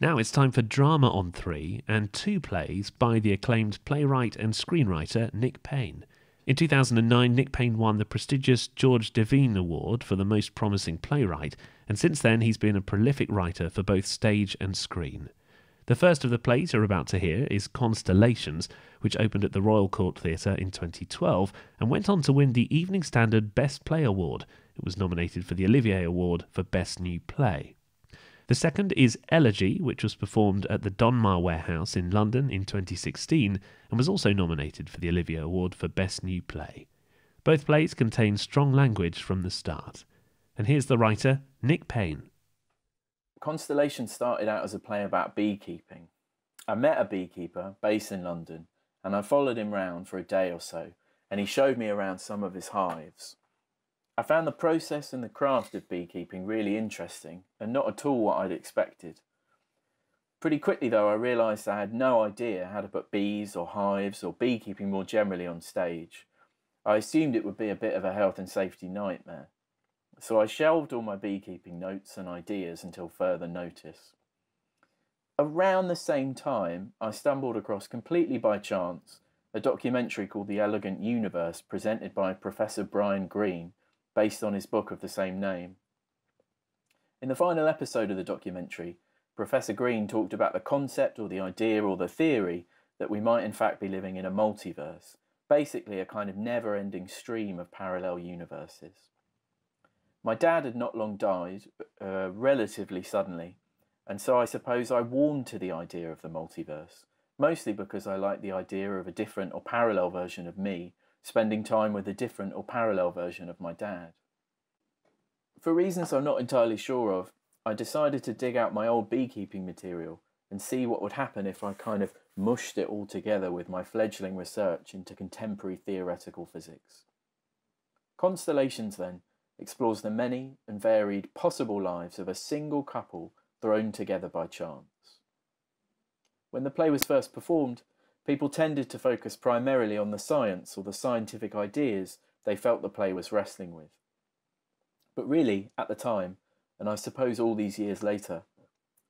Now it's time for Drama on Three and two plays by the acclaimed playwright and screenwriter Nick Payne. In 2009, Nick Payne won the prestigious George Devine Award for the Most Promising Playwright, and since then he's been a prolific writer for both stage and screen. The first of the plays you're about to hear is Constellations, which opened at the Royal Court Theatre in 2012 and went on to win the Evening Standard Best Play Award. It was nominated for the Olivier Award for Best New Play. The second is Elegy, which was performed at the Donmar Warehouse in London in 2016 and was also nominated for the Olivia Award for Best New Play. Both plays contain strong language from the start. And here's the writer, Nick Payne. Constellation started out as a play about beekeeping. I met a beekeeper based in London and I followed him round for a day or so and he showed me around some of his hives. I found the process and the craft of beekeeping really interesting and not at all what I'd expected. Pretty quickly, though, I realised I had no idea how to put bees or hives or beekeeping more generally on stage. I assumed it would be a bit of a health and safety nightmare. So I shelved all my beekeeping notes and ideas until further notice. Around the same time, I stumbled across completely by chance a documentary called The Elegant Universe, presented by Professor Brian Green, based on his book of the same name. In the final episode of the documentary, Professor Green talked about the concept or the idea or the theory that we might in fact be living in a multiverse, basically a kind of never ending stream of parallel universes. My dad had not long died, uh, relatively suddenly, and so I suppose I warmed to the idea of the multiverse, mostly because I like the idea of a different or parallel version of me spending time with a different or parallel version of my dad. For reasons I'm not entirely sure of, I decided to dig out my old beekeeping material and see what would happen if I kind of mushed it all together with my fledgling research into contemporary theoretical physics. Constellations, then, explores the many and varied possible lives of a single couple thrown together by chance. When the play was first performed, people tended to focus primarily on the science or the scientific ideas they felt the play was wrestling with. But really, at the time, and I suppose all these years later,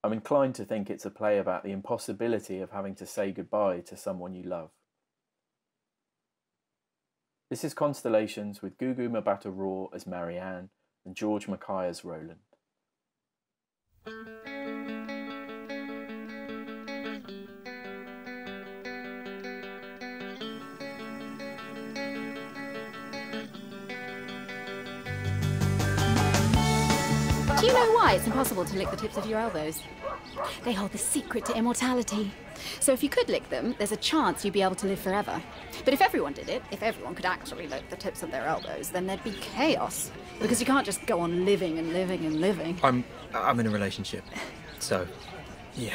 I'm inclined to think it's a play about the impossibility of having to say goodbye to someone you love. This is Constellations with Gugu Mbatha Raw as Marianne and George Mackay as Roland. Do you know why it's impossible to lick the tips of your elbows? They hold the secret to immortality. So if you could lick them, there's a chance you'd be able to live forever. But if everyone did it, if everyone could actually lick the tips of their elbows, then there'd be chaos. Because you can't just go on living and living and living. I'm I'm in a relationship. So yeah.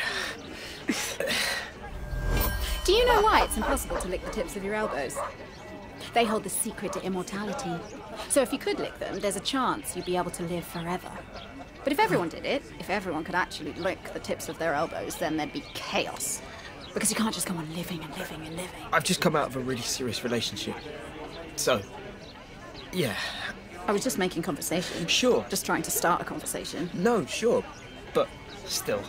Do you know why it's impossible to lick the tips of your elbows? They hold the secret to immortality. So if you could lick them, there's a chance you'd be able to live forever. But if everyone did it, if everyone could actually lick the tips of their elbows, then there'd be chaos. Because you can't just go on living and living and living. I've just come out of a really serious relationship. So, yeah. I was just making conversation. Sure. Just trying to start a conversation. No, sure. But still.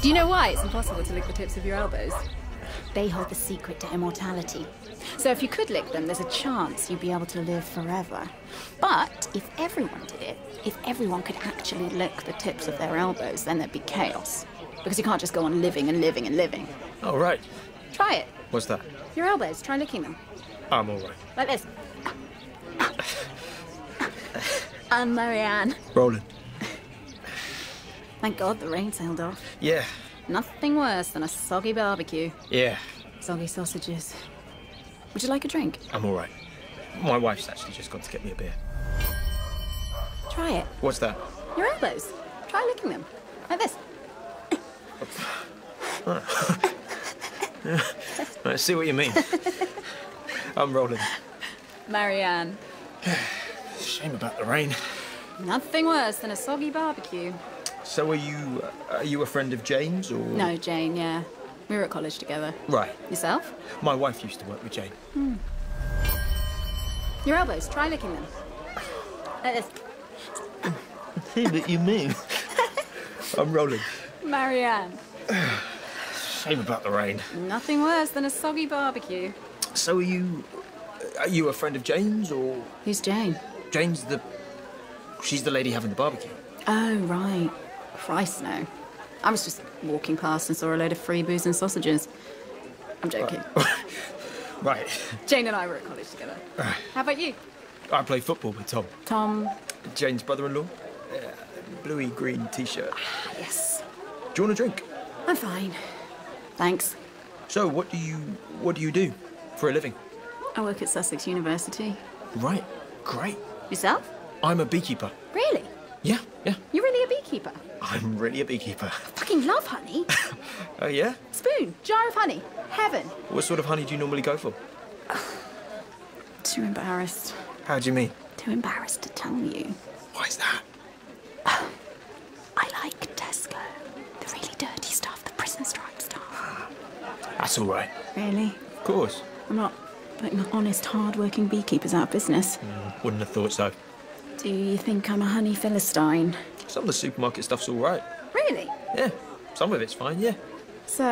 Do you know why it's impossible to lick the tips of your elbows? They hold the secret to immortality. So if you could lick them, there's a chance you'd be able to live forever. But if everyone did it, if everyone could actually lick the tips of their elbows, then there'd be chaos. Because you can't just go on living and living and living. Oh, right. Try it. What's that? Your elbows. Try licking them. I'm all right. Like this. And Marianne. Roland. Thank God the rain's held off. Yeah. Nothing worse than a soggy barbecue. Yeah. Soggy sausages. Would you like a drink? I'm all right. My wife's actually just gone to get me a beer. Try it. What's that? Your elbows. Try licking them. Like this. I see what you mean. I'm rolling. Marianne. Shame about the rain. Nothing worse than a soggy barbecue. So are you, uh, are you a friend of James or? No, Jane, yeah. We were at college together. Right. Yourself? My wife used to work with Jane. Hmm. Your elbows, try licking them. Like this. See what you mean. I'm rolling. Marianne. Shame about the rain. Nothing worse than a soggy barbecue. So are you... Are you a friend of Jane's, or...? Who's Jane? Jane's the... She's the lady having the barbecue. Oh, right. Christ, no. I was just walking past and saw a load of free booze and sausages. I'm joking. right. Jane and I were at college together. How about you? I play football with Tom. Tom? Jane's brother-in-law. bluey green t-shirt. Ah, yes. Do you want a drink? I'm fine. Thanks. So, what do you what do you do for a living? I work at Sussex University. Right, great. Yourself? I'm a beekeeper. Really? Yeah, yeah. You're really a beekeeper? I'm really a beekeeper. fucking love honey. oh, yeah? Spoon, jar of honey, heaven. What sort of honey do you normally go for? Too embarrassed. How do you mean? Too embarrassed to tell you. Why is that? I like Tesco. The really dirty stuff, the prison stuff. That's all right. Really? Of course. I'm not putting honest, hard-working beekeepers out of business. Mm, wouldn't have thought so. Do you think I'm a honey philistine? Some of the supermarket stuff's all right. Really? Yeah. Some of it's fine, yeah. So,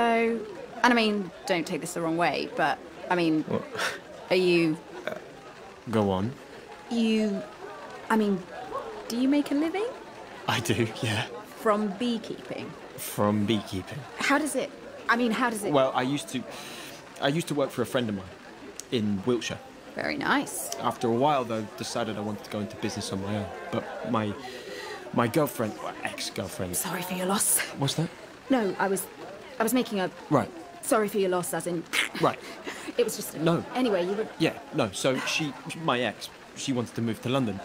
and I mean, don't take this the wrong way, but I mean, are you... Uh, go on. You... I mean, do you make a living? I do, yeah. From beekeeping? From beekeeping. How does it, I mean, how does it. Well, I used to. I used to work for a friend of mine in Wiltshire. Very nice. After a while, though, decided I wanted to go into business on my own. But my my girlfriend, ex-girlfriend. Sorry for your loss. What's that? No, I was I was making a right. Sorry for your loss, as in. Right. it was just no. Anyway, you were. Yeah, no. So she, my ex, she wanted to move to London,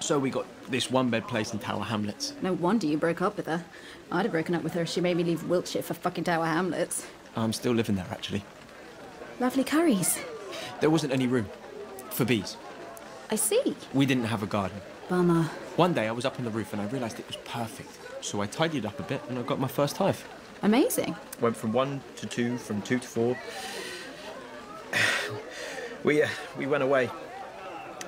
so we got this one bed place in Tower Hamlets. No wonder you broke up with her. I'd have broken up with her if she made me leave Wiltshire for fucking Tower Hamlets. I'm still living there, actually. Lovely curries. There wasn't any room. For bees. I see. We didn't have a garden. Bummer. One day I was up on the roof and I realised it was perfect. So I tidied it up a bit and I got my first hive. Amazing. Went from one to two, from two to four. we, uh, we went away.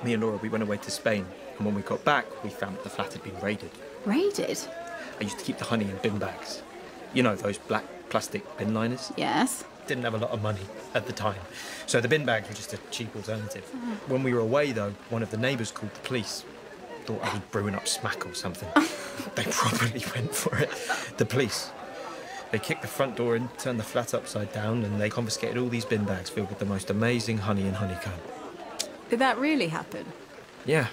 Me and Laura, we went away to Spain. And when we got back, we found that the flat had been raided. Raided? I used to keep the honey in bin bags. You know, those black plastic bin liners? Yes. Didn't have a lot of money at the time. So the bin bags were just a cheap alternative. Mm. When we were away, though, one of the neighbours called the police. Thought I was brewing up smack or something. they probably went for it. The police. They kicked the front door in turned the flat upside down, and they confiscated all these bin bags filled with the most amazing honey and honeycomb. Did that really happen? Yeah.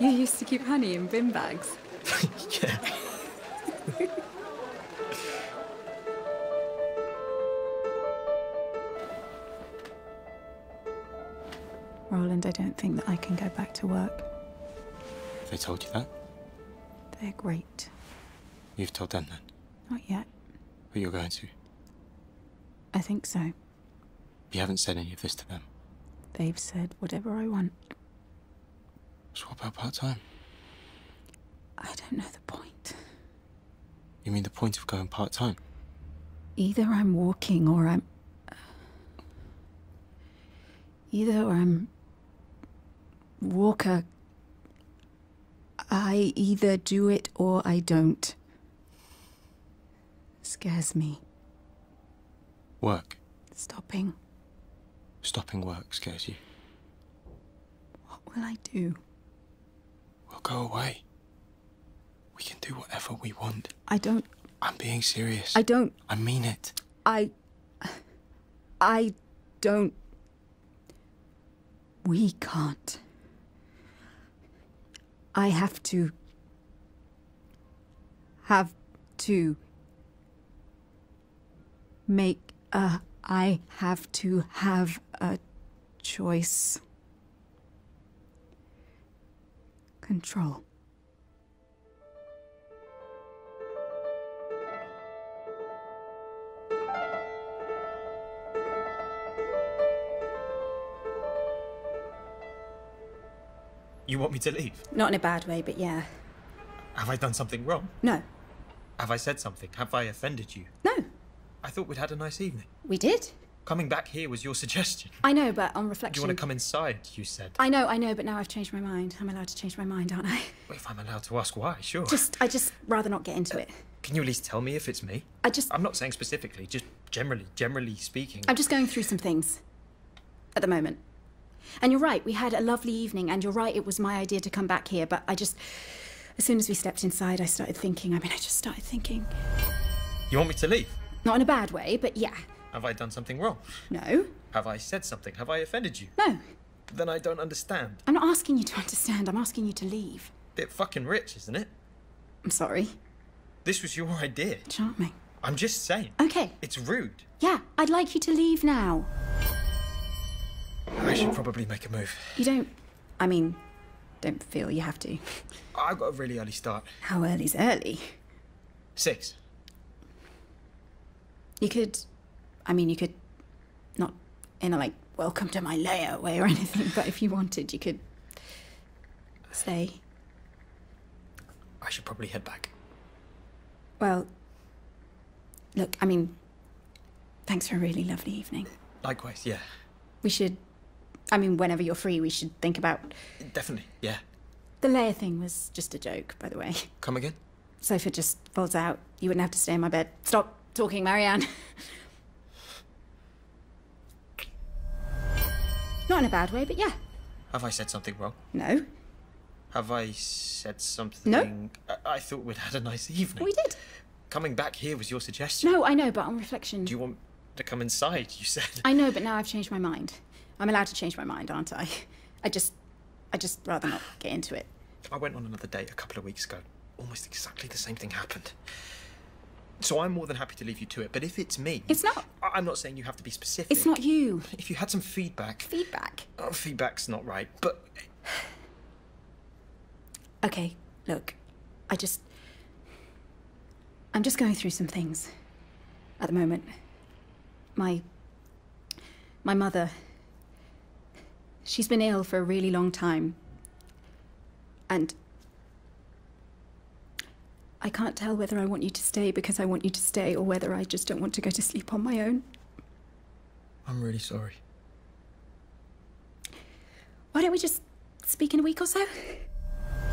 You used to keep honey in bin bags. yeah. Roland, I don't think that I can go back to work. They told you that? They're great. You've told them that? Not yet. But you're going to? I think so. You haven't said any of this to them? They've said whatever I want. So what about part-time? I don't know the point. You mean the point of going part-time? Either I'm walking or I'm... Either I'm... Walker... I either do it or I don't. Scares me. Work. Stopping. Stopping work scares you. What will I do? We'll go away. We can do whatever we want. I don't. I'm being serious. I don't. I mean it. I. I don't we can't. I have to. Have to. Make a. I have to have a choice. Control. You want me to leave? Not in a bad way, but yeah. Have I done something wrong? No. Have I said something? Have I offended you? No. I thought we'd had a nice evening. We did. Coming back here was your suggestion. I know, but on reflection. Do you want to come inside, you said. I know, I know, but now I've changed my mind. I'm allowed to change my mind, aren't I? if I'm allowed to ask why, sure. Just, I just rather not get into it. Can you at least tell me if it's me? I just. I'm not saying specifically, just generally, generally speaking. I'm just going through some things at the moment. And you're right, we had a lovely evening, and you're right, it was my idea to come back here, but I just. As soon as we stepped inside, I started thinking. I mean, I just started thinking. You want me to leave? Not in a bad way, but yeah. Have I done something wrong? No. Have I said something? Have I offended you? No. Then I don't understand. I'm not asking you to understand, I'm asking you to leave. Bit fucking rich, isn't it? I'm sorry. This was your idea. Charming. I'm just saying. Okay. It's rude. Yeah, I'd like you to leave now. I should probably make a move. You don't... I mean, don't feel you have to. I got a really early start. How early's early? Six. You could... I mean, you could not in a like welcome to my layer way or anything. But if you wanted, you could say. I should probably head back. Well, look, I mean, thanks for a really lovely evening. Likewise, yeah. We should. I mean, whenever you're free, we should think about. Definitely, yeah. The layer thing was just a joke, by the way. Come again? Sofa just falls out. You wouldn't have to stay in my bed. Stop talking, Marianne. Not in a bad way, but yeah. Have I said something wrong? No. Have I said something? No. I, I thought we'd had a nice evening. We did. Coming back here was your suggestion. No, I know, but on reflection. Do you want to come inside? You said. I know, but now I've changed my mind. I'm allowed to change my mind, aren't I? I just, I just rather not get into it. I went on another date a couple of weeks ago almost exactly the same thing happened. So I'm more than happy to leave you to it, but if it's me. It's not. I- am not saying you have to be specific. It's not you. If you had some feedback. Feedback? Oh, feedback's not right, but. okay, look. I just. I'm just going through some things at the moment. My. My mother. She's been ill for a really long time. And I can't tell whether I want you to stay because I want you to stay or whether I just don't want to go to sleep on my own. I'm really sorry. Why don't we just speak in a week or so?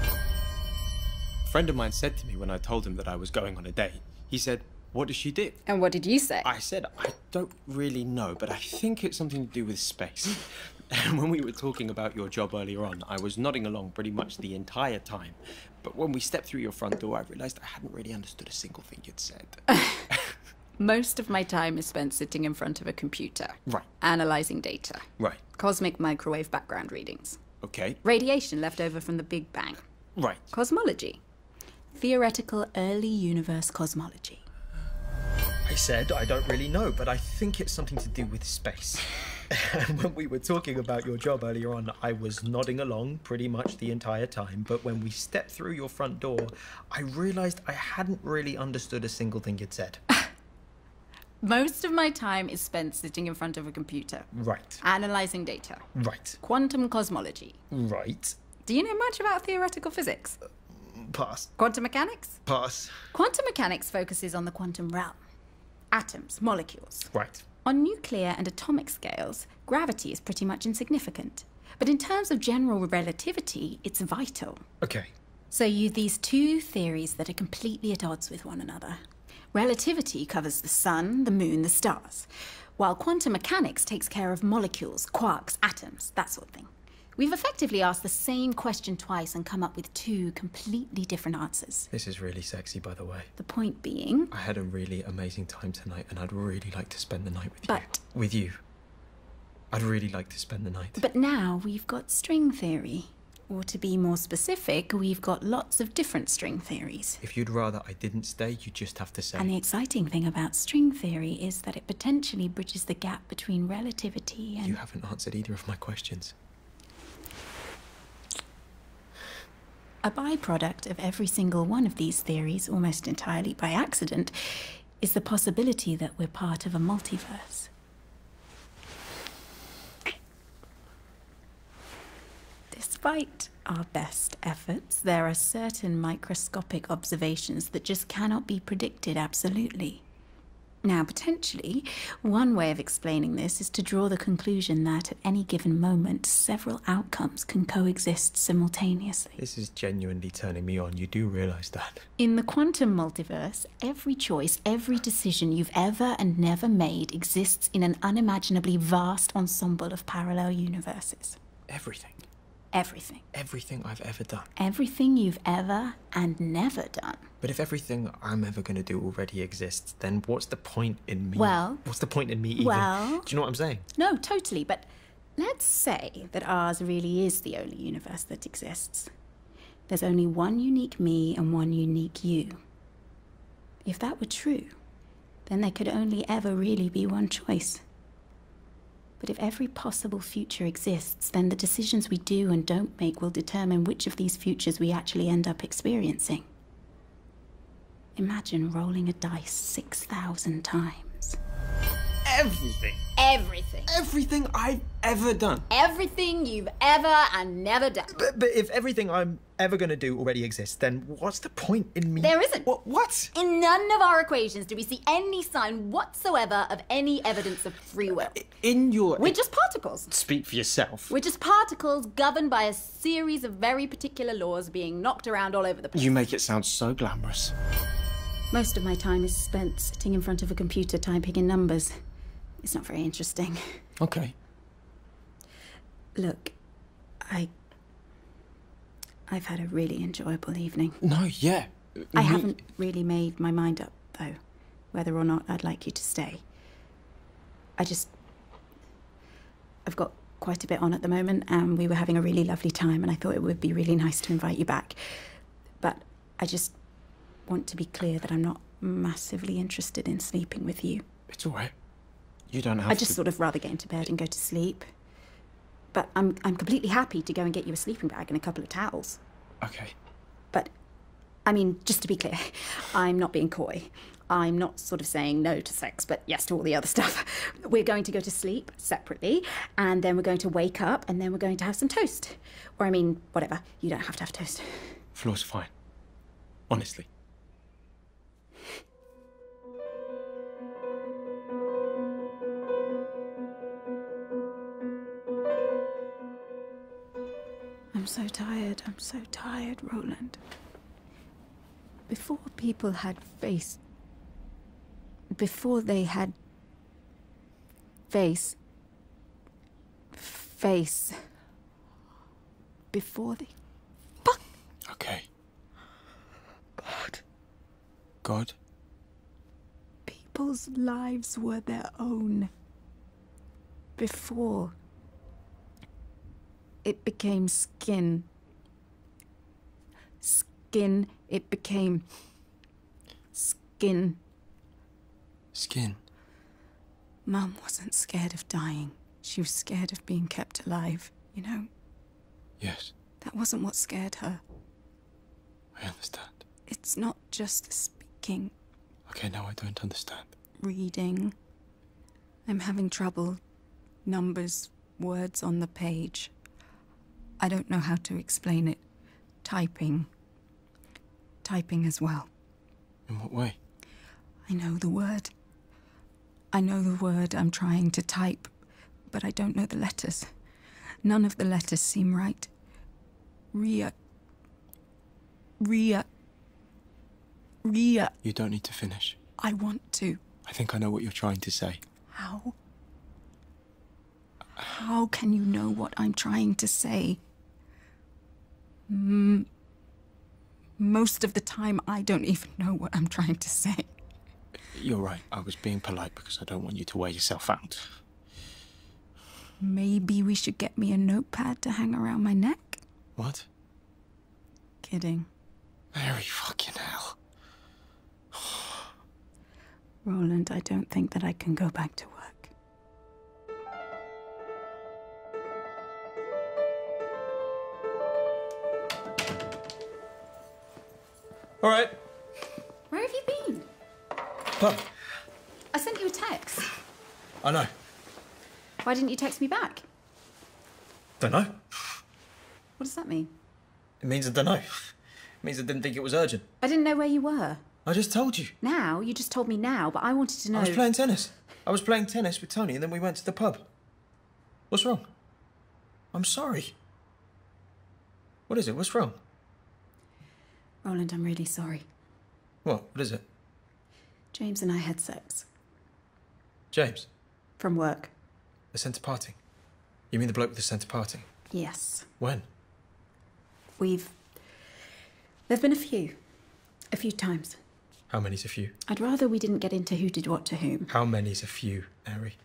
A friend of mine said to me when I told him that I was going on a date, he said, what did she do? And what did you say? I said, I don't really know, but I think it's something to do with space. And when we were talking about your job earlier on, I was nodding along pretty much the entire time. But when we stepped through your front door, I realized I hadn't really understood a single thing you'd said. Most of my time is spent sitting in front of a computer. Right. Analyzing data. Right. Cosmic microwave background readings. Okay. Radiation left over from the Big Bang. Right. Cosmology. Theoretical early universe cosmology. I said, I don't really know, but I think it's something to do with space. and when we were talking about your job earlier on, I was nodding along pretty much the entire time. But when we stepped through your front door, I realized I hadn't really understood a single thing you'd said. Most of my time is spent sitting in front of a computer. Right. Analyzing data. Right. Quantum cosmology. Right. Do you know much about theoretical physics? Pass. Quantum mechanics? Pass. Quantum mechanics focuses on the quantum realm atoms, molecules. Right. On nuclear and atomic scales, gravity is pretty much insignificant. But in terms of general relativity, it's vital. Okay. So you these two theories that are completely at odds with one another. Relativity covers the sun, the moon, the stars, while quantum mechanics takes care of molecules, quarks, atoms, that sort of thing. We've effectively asked the same question twice and come up with two completely different answers. This is really sexy, by the way. The point being... I had a really amazing time tonight and I'd really like to spend the night with you. But... With you. I'd really like to spend the night. But now we've got string theory. Or to be more specific, we've got lots of different string theories. If you'd rather I didn't stay, you just have to say. And the exciting thing about string theory is that it potentially bridges the gap between relativity You haven't answered either of my questions. A byproduct of every single one of these theories, almost entirely by accident, is the possibility that we're part of a multiverse. Despite our best efforts, there are certain microscopic observations that just cannot be predicted absolutely. Now, potentially, one way of explaining this is to draw the conclusion that at any given moment, several outcomes can coexist simultaneously. This is genuinely turning me on. You do realize that. In the quantum multiverse, every choice, every decision you've ever and never made exists in an unimaginably vast ensemble of parallel universes. Everything. Everything. Everything I've ever done. Everything you've ever and never done. But if everything I'm ever going to do already exists, then what's the point in me? Well, what's the point in me even? Well, do you know what I'm saying? No, totally. But let's say that ours really is the only universe that exists. There's only one unique me and one unique you. If that were true, then there could only ever really be one choice. But if every possible future exists, then the decisions we do and don't make will determine which of these futures we actually end up experiencing. Imagine rolling a dice 6,000 times. Everything. Everything. Everything I've ever done. Everything you've ever and never done. But, if everything I'm ever going to do already exists, then what's the point in me? There isn't. what? In none of our equations do we see any sign whatsoever of any evidence of free will in your. We're just particles. Speak for yourself. We're just particles governed by a series of very particular laws being knocked around all over the place. You make it sound so glamorous. Most of my time is spent sitting in front of a computer typing in numbers. It's not very interesting. Okay. Look, I. I've had a really enjoyable evening. No, yeah, I mm-hmm. haven't really made my mind up, though, whether or not I'd like you to stay. I just. I've got quite a bit on at the moment, and we were having a really lovely time, and I thought it would be really nice to invite you back. But I just want to be clear that I'm not massively interested in sleeping with you. It's all right. You don't have I just sort of rather get into bed and go to sleep. But I'm, I'm completely happy to go and get you a sleeping bag and a couple of towels. Okay. But I mean, just to be clear, I'm not being coy. I'm not sort of saying no to sex, but yes to all the other stuff. We're going to go to sleep separately, and then we're going to wake up, and then we're going to have some toast. Or, I mean, whatever. You don't have to have toast. Floor's are fine. Honestly. I'm so tired, I'm so tired, Roland. Before people had face. Before they had. face. face. Before they. Fuck! Okay. God. God, People's lives were their own before it became skin. Skin, it became skin. Skin. Mum wasn't scared of dying. She was scared of being kept alive, you know? Yes. That wasn't what scared her. I understand. It's not just speaking. Okay, now I don't understand. Reading. I'm having trouble. Numbers, words on the page. I don't know how to explain it. Typing. Typing as well. In what way? I know the word. I know the word I'm trying to type, but I don't know the letters. None of the letters seem right. Ria Ria. Ria. You don't need to finish. I want to. I think I know what you're trying to say. How? How can you know what I'm trying to say? most of the time, I don't even know what I'm trying to say. You're right. I was being polite because I don't want you to wear yourself out. Maybe we should get me a notepad to hang around my neck? What? Kidding. Very fucking hell. Roland, I don't think that I can go back to work. All right. Where have you been? Pam. I sent you a text. I know. Why didn't you text me back? Don't know. What does that mean? It means I don't know. It means I didn't think it was urgent. I didn't know where you were. I just told you. Now? You just told me now, but I wanted to know... I was playing tennis. I was playing tennis with Tony and then we went to the pub. What's wrong? I'm sorry. What is it? What's wrong? Roland, I'm really sorry. What? What is it? James and I had sex. James? From work. The centre party. You mean the bloke with the centre party? Yes. When? We've... There've been a few. A few times. How many's a few? I'd rather we didn't get into who did what to whom. How many's a few, Mary?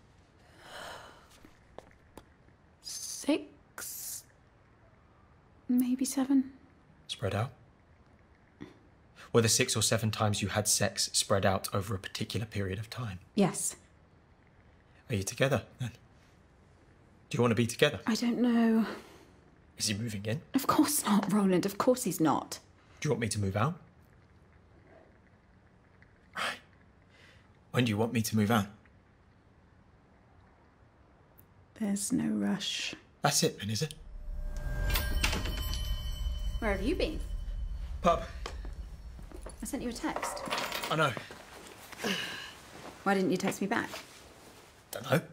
Six? maybe seven. Spread out? Whether six or seven times you had sex spread out over a particular period of time? Yes. Are you together then? Do you want to be together? I don't know. Is he moving in? Of course not, Roland. Of course he's not. Do you want me to move out? When do you want me to move out? There's no rush. That's it then, is it? Where have you been? Pub. I sent you a text. I know. Why didn't you text me back? Don't know.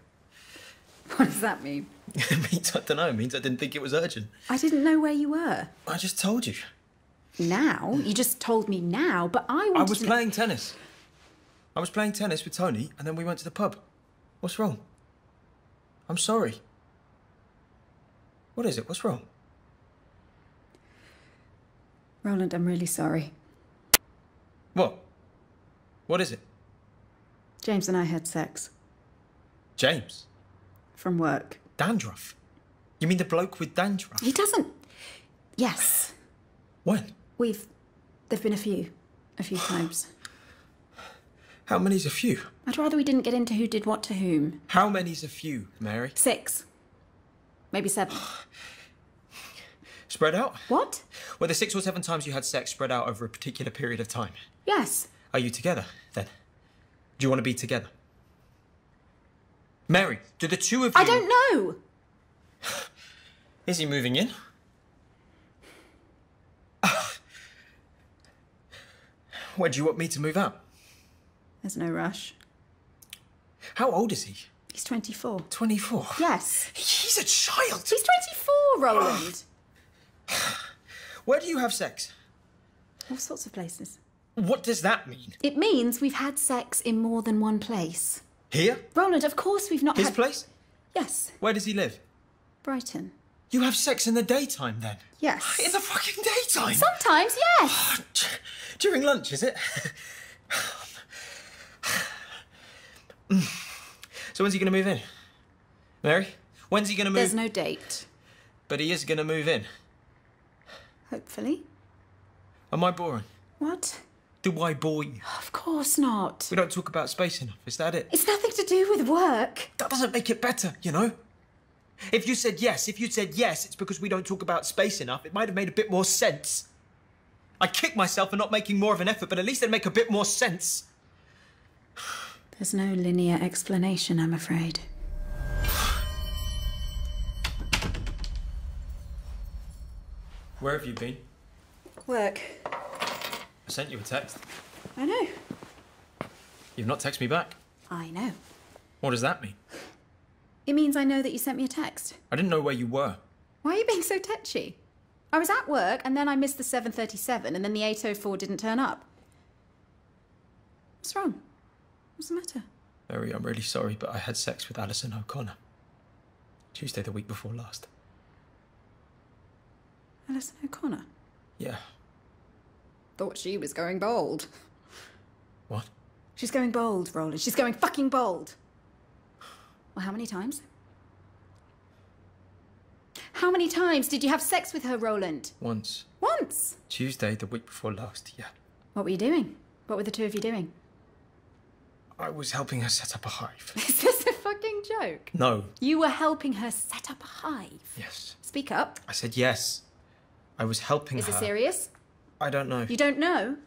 What does that mean? means I don't know. It means I didn't think it was urgent. I didn't know where you were. I just told you. Now? You just told me now, but I wanted I was playing tennis. I was playing tennis with Tony and then we went to the pub. What's wrong? I'm sorry. What is it? What's wrong? Roland, I'm really sorry. What? What is it? James and I had sex. James? From work. Dandruff? You mean the bloke with dandruff? He doesn't. Yes. When? We've There've been a few. A few times. How many's a few? I'd rather we didn't get into who did what to whom. How many's a few, Mary? Six. Maybe seven. spread out? What? Were the six or seven times you had sex spread out over a particular period of time? Yes. Are you together, then? Do you want to be together? Mary, do the two of you... I don't know! Is he moving in? Where do you want me to move out? There's no rush. How old is he? He's 24. 24? Yes. He's a child. He's 24, Roland. Where do you have sex? All sorts of places. What does that mean? It means we've had sex in more than one place. Here? Roland, of course we've not His place? Yes. Where does he live? Brighton. You have sex in the daytime then? Yes. In the fucking daytime? Sometimes, yes. Oh, during lunch, is it? so when's he going to move in? Mary? When's he going to move? There's no date. But he is going to move in. Hopefully. Am I boring? What? Do I bore you? Of course not. We don't talk about space enough, is that it? It's nothing to do with work. That doesn't make it better, you know? If you said yes, if you said yes, it's because we don't talk about space enough. It might have made a bit more sense. I kick myself for not making more of an effort, but at least it'd make a bit more sense. There's no linear explanation, I'm afraid. Where have you been? Work. I sent you a text. I know. You've not texted me back. I know. What does that mean? It means I know that you sent me a text. I didn't know where you were. Why are you being so tetchy? I was at work and then I missed the 737 and then the 804 didn't turn up. What's wrong? What's the matter? Mary, I'm really sorry, but I had sex with Alison O'Connor. Tuesday the week before last. Alison O'Connor? Yeah. Thought she was going bold. What? She's going bold, Roland. She's going fucking bold. Well, how many times? How many times did you have sex with her, Roland? Once. Once? Tuesday, the week before last, yeah. What were you doing? What were the two of you doing? I was helping her set up a hive. Is this a fucking joke? No. You were helping her set up a hive? Yes. Speak up. I said yes. I was helping Is her. it serious? I don't know. You don't know?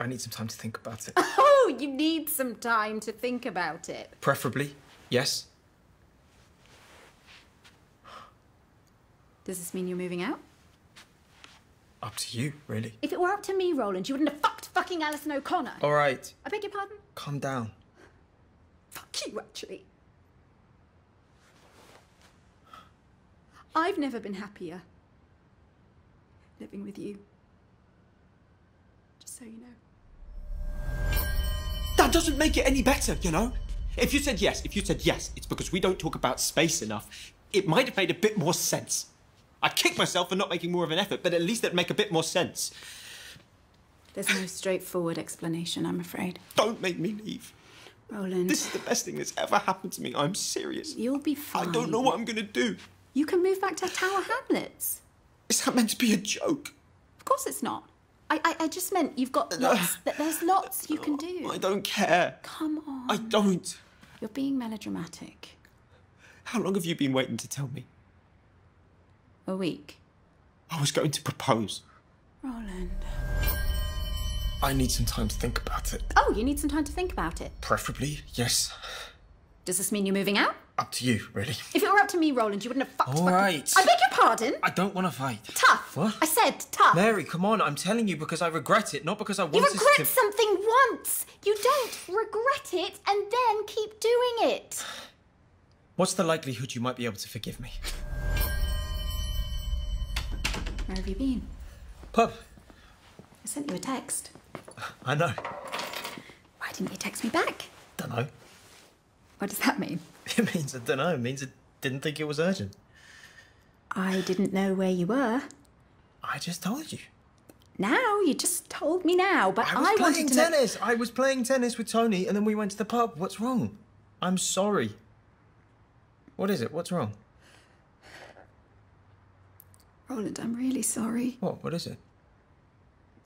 I need some time to think about it. Oh, you need some time to think about it. Preferably, yes. Does this mean you're moving out? Up to you, really. If it were up to me, Roland, you wouldn't have fucked fucking Alison O'Connor. All right. I beg your pardon? Calm down. Fuck you, actually. I've never been happier living with you. Just so you know. That doesn't make it any better, you know? If you said yes, if you said yes, it's because we don't talk about space enough. It might have made a bit more sense. I kick myself for not making more of an effort, but at least it'd make a bit more sense. There's no straightforward explanation, I'm afraid. Don't make me leave. Roland. This is the best thing that's ever happened to me. I'm serious. You'll be fine. I don't know what I'm going to do. You can move back to Tower Hamlets. Is that meant to be a joke? Of course it's not. I, I, just meant you've got lots. there's lots you can do. I don't care. Come on. I don't. You're being melodramatic. How long have you been waiting to tell me? A week. I was going to propose. Roland. I need some time to think about it. Oh, you need some time to think about it? Preferably, yes. Does this mean you're moving out? Up to you, really. If it were up to me, Roland, you wouldn't have fucked All I beg your pardon? I don't want to fight. Tough. What? I said tough. Mary, come on, I'm telling you because I regret it, not because I want to... You regret something once! You don't regret it and then keep doing it. What's the likelihood you might be able to forgive me? Where have you been? Pub. I sent you a text. I know. Why didn't you text me back? Dunno. What does that mean? It means I dunno. It means I didn't think it was urgent. I didn't know where you were. I just told you. Now you just told me now, but I was I playing tennis. I was playing tennis with Tony, and then we went to the pub. What's wrong? I'm sorry. What is it? What's wrong? Roland, I'm really sorry. What? What is it?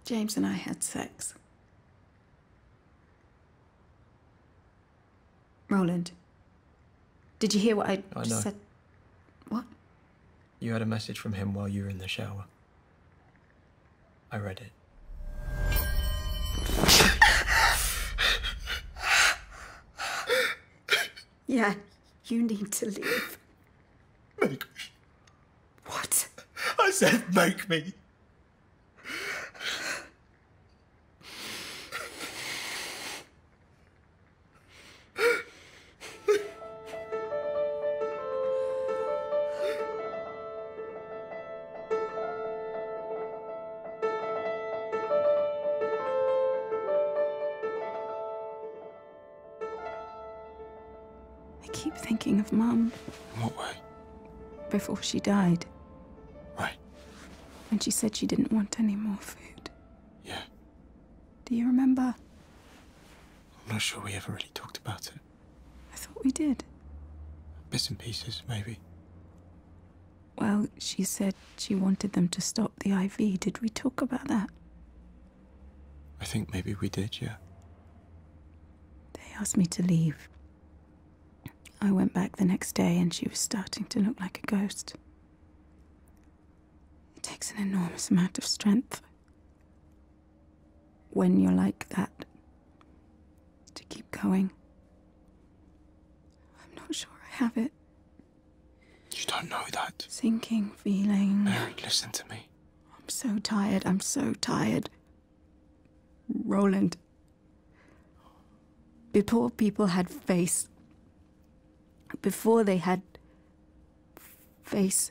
James and I had sex. Roland, did you hear what I, I know. said? What? You had a message from him while you were in the shower. I read it. Yeah, you need to leave. Make me. What? I said make me. I keep thinking of Mum. In what way? Before she died. Why? When she said she didn't want any more food. Yeah. Do you remember? I'm not sure we ever really talked about it. I thought we did. Bits and pieces, maybe. Well, she said she wanted them to stop the IV. Did we talk about that? I think maybe we did, yeah. They asked me to leave. I went back the next day and she was starting to look like a ghost. It takes an enormous amount of strength when you're like that to keep going. I'm not sure I have it. You don't know that. Sinking feeling. Mary, listen to me. I'm so tired. I'm so tired. Roland. Before people had face, before they had face,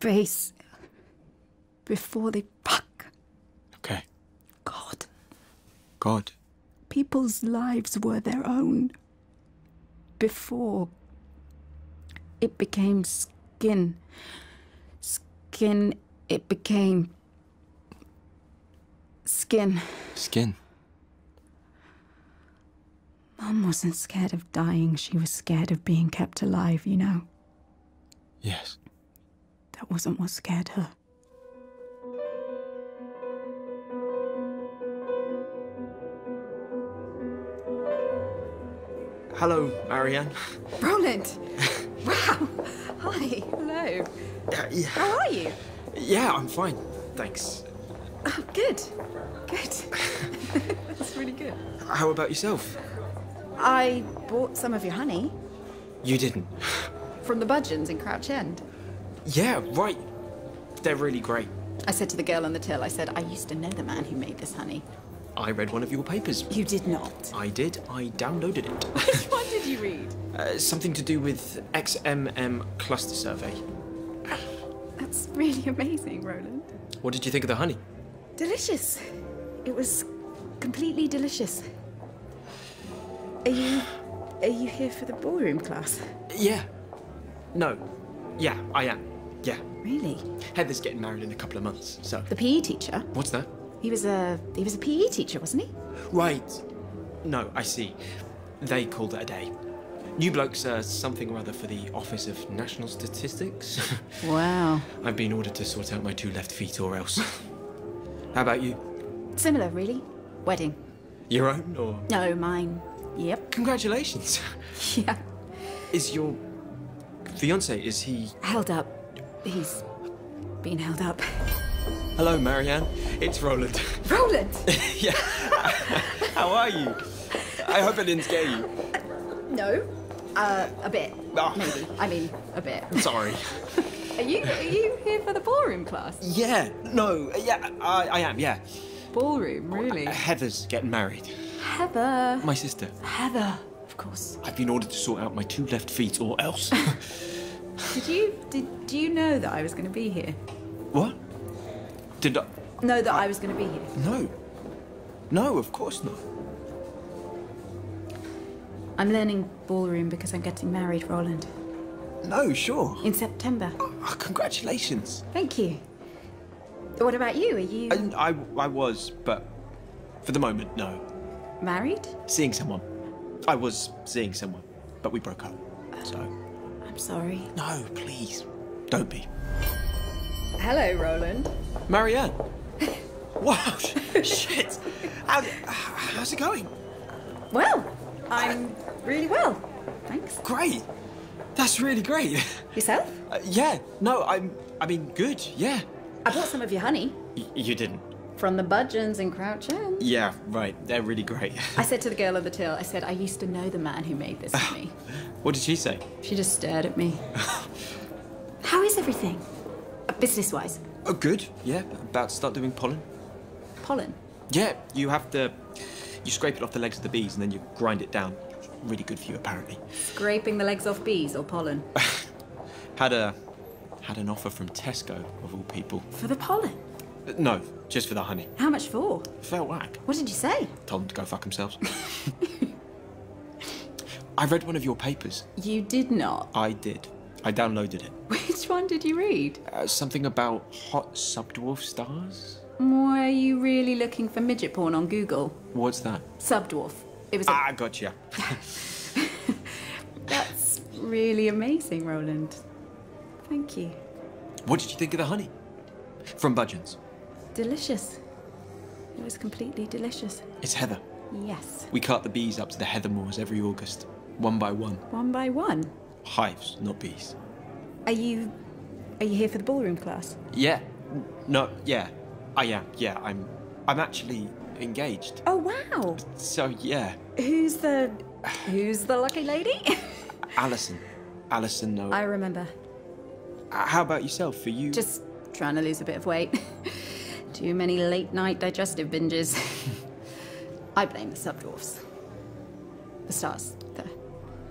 face before they fuck. Okay. God. God. People's lives were their own. Before it became skin. Skin, it became skin. Skin. Mum wasn't scared of dying, she was scared of being kept alive, you know? Yes. That wasn't what scared her. Hello, Marianne. Roland! wow! Hi, hello. Uh, How are you? Yeah, I'm fine, thanks good. Good. That's really good. How about yourself? I bought some of your honey. You didn't? From the Budgeons in Crouch End. Yeah, right. They're really great. I said to the girl on the till, I said, I used to know the man who made this honey. I read one of your papers. You did not. I did. I downloaded it. Which one did you read? Uh, something to do with XMM cluster survey. That's really amazing, Roland. What did you think of the honey? Delicious. It was completely delicious. Are you are you here for the ballroom class? Yeah. No. Yeah, I am. Yeah. Really? Heather's getting married in a couple of months, so. The PE teacher? What's that? He was a he was a PE teacher, wasn't he? Right. No, I see. They called it a day. New bloke's something or other for the Office of National Statistics. wow. I've been ordered to sort out my two left feet or else. How about you? Similar, really. Wedding. Your own or? No, mine. Yep. Congratulations. yeah. Is your fiance, is he? Held up. He's been held up. Hello, Marianne. It's Roland. Roland? yeah. How are you? I hope it didn't scare you. No. Uh, a bit. Ah. Maybe. I mean, a bit. sorry. are you are you here for the ballroom class? Yeah. No. Yeah. I, I am. Yeah. Ballroom, oh, really. Heather's getting married. Heather. My sister. Heather, of course. I've been ordered to sort out my two left feet, or else. did you did you know that I was going to be here? What? Did I? Know that I was going to be here. No. No, of course not. I'm learning ballroom because I'm getting married, Roland. No, sure. In September. Oh, ah, congratulations. Thank you. What about you? Are you. I, I, I was, but for the moment, no. Married? Seeing someone. I was seeing someone, but we broke up, so. I'm sorry. No, please don't be. Hello, Roland. Marianne. wow, shit. how's it going? Well, I'm really well, thanks. Great. That's really great. Yourself? Uh, yeah. No, I'm. I mean, good. Yeah. I bought some of your honey. you didn't. From the Budgeons and Crouch Yeah, right. They're really great. I said to the girl at the till, I said, I used to know the man who made this for me. What did she say? She just stared at me. How is everything? Uh, business-wise? Oh, good. Yeah, about to start doing pollen. Pollen? Yeah, you have to... You scrape it off the legs of the bees and then you grind it down. Really good for you, apparently. Scraping the legs off bees or pollen? had a... Had an offer from Tesco, of all people. For the pollen? Uh, no, just for the honey. How much for? Felt whack. What did you say? Told them to go fuck themselves. I read one of your papers. You did not? I did. I downloaded it. Which one did you read? Uh, something about hot subdwarf stars? Why are you really looking for midget porn on Google? What's that? Subdwarf. It was. A... Ah, gotcha. That's really amazing, Roland. Thank you. What did you think of the honey? From Budgeons. Delicious. It was completely delicious. It's heather. Yes. We cart the bees up to the heather moors every August, one by one. One by one? Hives, not bees. Are you. are you here for the ballroom class? Yeah. No, yeah. I am, yeah. I'm. I'm actually engaged. Oh, wow. So, yeah. Who's the. who's the lucky lady? Alison. Alison, no. I remember. Uh, how about yourself? Are you. Just trying to lose a bit of weight. Too many late night digestive binges. I blame the sub dwarfs, The stars, the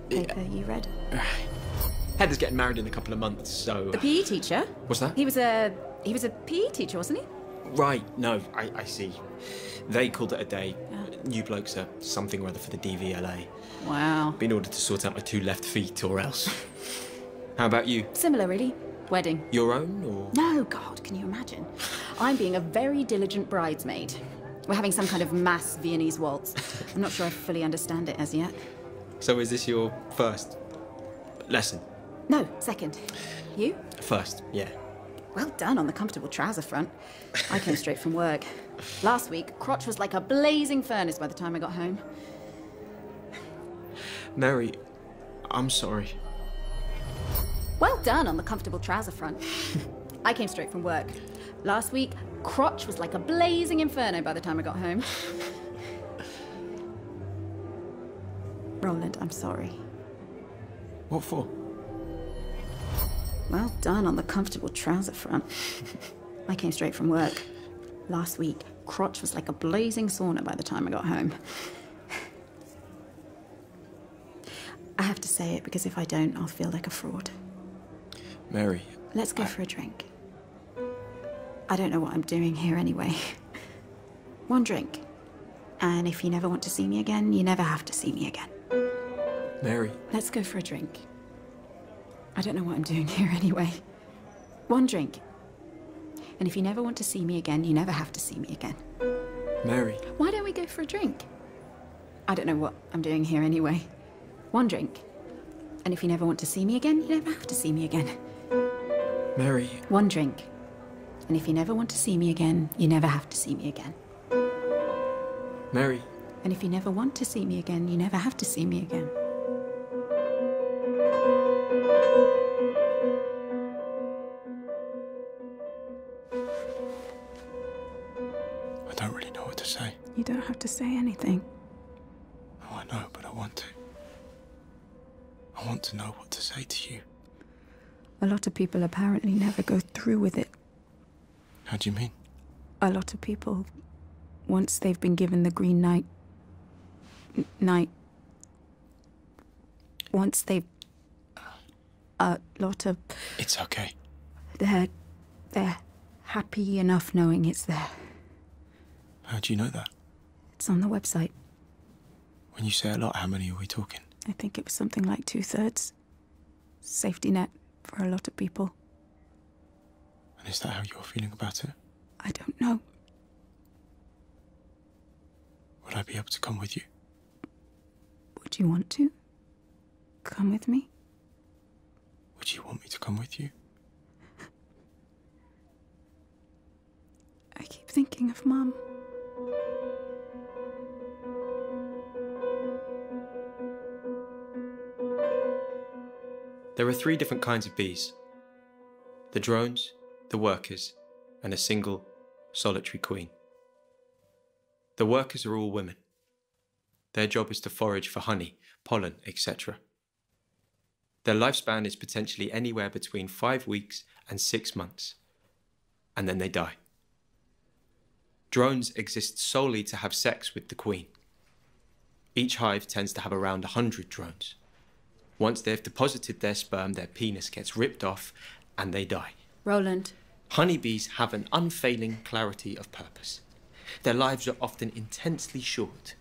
paper you read. Heather's getting married in a couple of months, so. The PE teacher? What's that? He was a. He was a PE teacher, wasn't he? Right, no, I, see. They called it a day. New blokes are something or other for the DVLA. Wow. Been ordered to sort out my two left feet or else. How about you? Similar, really. Wedding. Your own, or...? No, God, can you imagine? I'm being a very diligent bridesmaid. We're having some kind of mass Viennese waltz. I'm not sure I fully understand it as yet. So is this your first lesson? No, second. You? First, yeah. Well done on the comfortable trouser front. I came straight from work. Last week, crotch was like a blazing furnace by the time I got home. Mary, I'm sorry. Well done on the comfortable trouser front. I came straight from work. Last week, crotch was like a blazing inferno by the time I got home. Roland, I'm sorry. What for? Well done on the comfortable trouser front. I came straight from work. Last week, crotch was like a blazing sauna by the time I got home. I have to say it because if I don't, I'll feel like a fraud. Mary. Let's go for a drink. I don't know what I'm doing here anyway. One drink. And if you never want to see me again, you never have to see me again. Mary. Let's go for a drink. I don't know what I'm doing here anyway. One drink. And if you never want to see me again, you never have to see me again. Mary. Why don't we go for a drink? I don't know what I'm doing here anyway. One drink. And if you never want to see me again, you never have to see me again. Mary. One drink. And if you never want to see me again, you never have to see me again. Mary. And if you never want to see me again, you never have to see me again. I don't really know what to say. You don't have to say anything. Oh, I know, but I want to. I want to know what to say to you. A lot of people apparently never go through with it. How do you mean? A lot of people, once they've been given the green light, night. Once they've uh, a lot of. It's okay. They're they're happy enough knowing it's there. How do you know that? It's on the website. When you say a lot, how many are we talking? I think it was something like two thirds. Safety net for a lot of people. And is that how you're feeling about it? I don't know. Would I be able to come with you? Would you want to? Come with me? Would you want me to come with you? I keep thinking of Mum. There are three different kinds of bees the drones, the workers, and a single, solitary queen. The workers are all women. Their job is to forage for honey, pollen, etc. Their lifespan is potentially anywhere between five weeks and six months, and then they die. Drones exist solely to have sex with the queen. Each hive tends to have around a 100 drones. Once they've deposited their sperm, their penis gets ripped off and they die. Roland. Honeybees have an unfailing clarity of purpose. Their lives are often intensely short.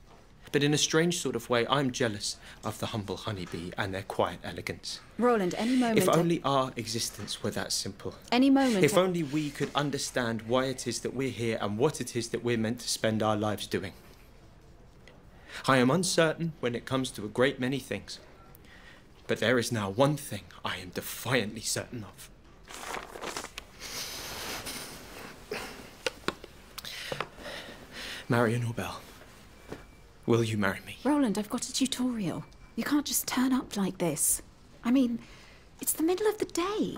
But in a strange sort of way, I'm jealous of the humble honeybee and their quiet elegance. Roland, any moment. If only our existence were that simple. Any moment. If only we could understand why it is that we're here and what it is that we're meant to spend our lives doing. I am uncertain when it comes to a great many things. But there is now one thing I am defiantly certain of. Marion Orbell, will you marry me? Roland, I've got a tutorial. You can't just turn up like this. I mean, it's the middle of the day.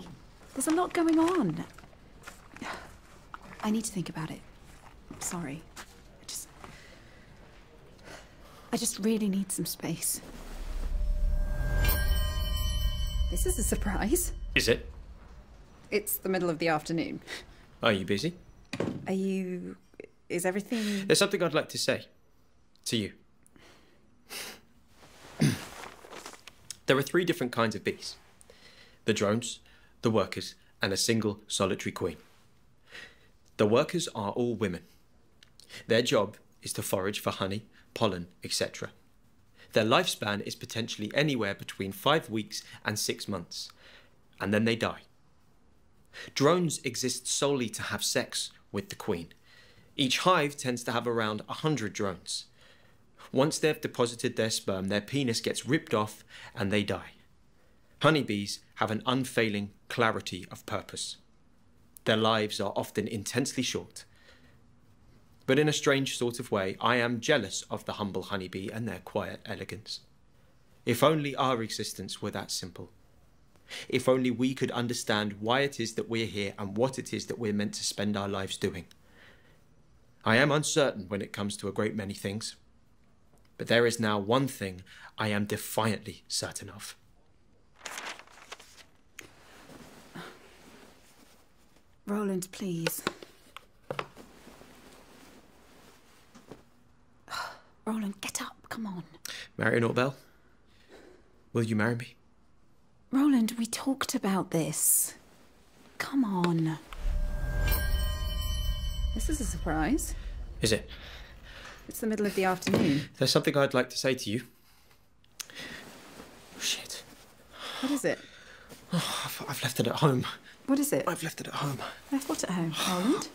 There's a lot going on. I need to think about it. I'm sorry. I just... I just really need some space. This is a surprise. Is it? It's the middle of the afternoon. Are you busy? Are you... is everything... There's something I'd like to say. To you. there are three different kinds of bees. The drones, the workers, and a single solitary queen. The workers are all women. Their job is to forage for honey, pollen, etc. Their lifespan is potentially anywhere between five weeks and six months, and then they die. Drones exist solely to have sex with the queen. Each hive tends to have around a 100 drones. Once they've deposited their sperm, their penis gets ripped off and they die. Honeybees have an unfailing clarity of purpose. Their lives are often intensely short. But in a strange sort of way, I am jealous of the humble honeybee and their quiet elegance. If only our existence were that simple. If only we could understand why it is that we're here and what it is that we're meant to spend our lives doing. I am uncertain when it comes to a great many things, but there is now one thing I am defiantly certain of. Roland, please. Roland, get up, come on. Marion Orbel. will you marry me? Roland, we talked about this. Come on. This is a surprise. Is it? It's the middle of the afternoon. There's something I'd like to say to you. Shit. What is it? I've, I've left it at home. What is it? I've left it at home. Left what at home, Roland?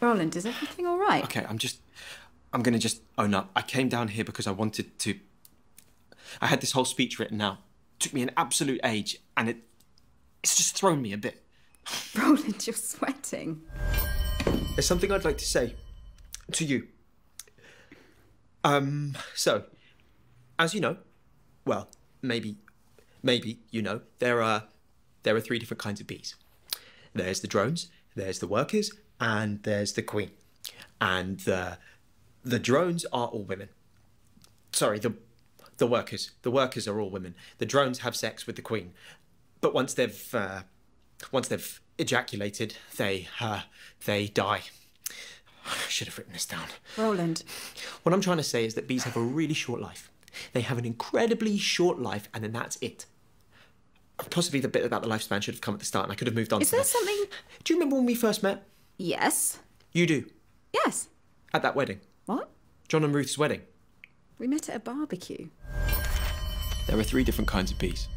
Roland, is everything all right? Okay, I'm just. I'm gonna just own up. I came down here because I wanted to. I had this whole speech written out took me an absolute age, and it it's just thrown me a bit. Roland, you're sweating. There's something I'd like to say to you. Um, so, as you know, well, maybe, maybe you know, there are there are three different kinds of bees. There's the drones, there's the workers, and there's the queen. And the the drones are all women. Sorry, the the workers. The workers are all women. The drones have sex with the queen, but once they've uh, once they've ejaculated, they uh, they die. I should have written this down. Roland. What I'm trying to say is that bees have a really short life. They have an incredibly short life, and then that's it. Possibly the bit about the lifespan should have come at the start, and I could have moved on. Is there something? Do you remember when we first met? Yes. You do. Yes at that wedding. What? John and Ruth's wedding. We met at a barbecue. There are three different kinds of bees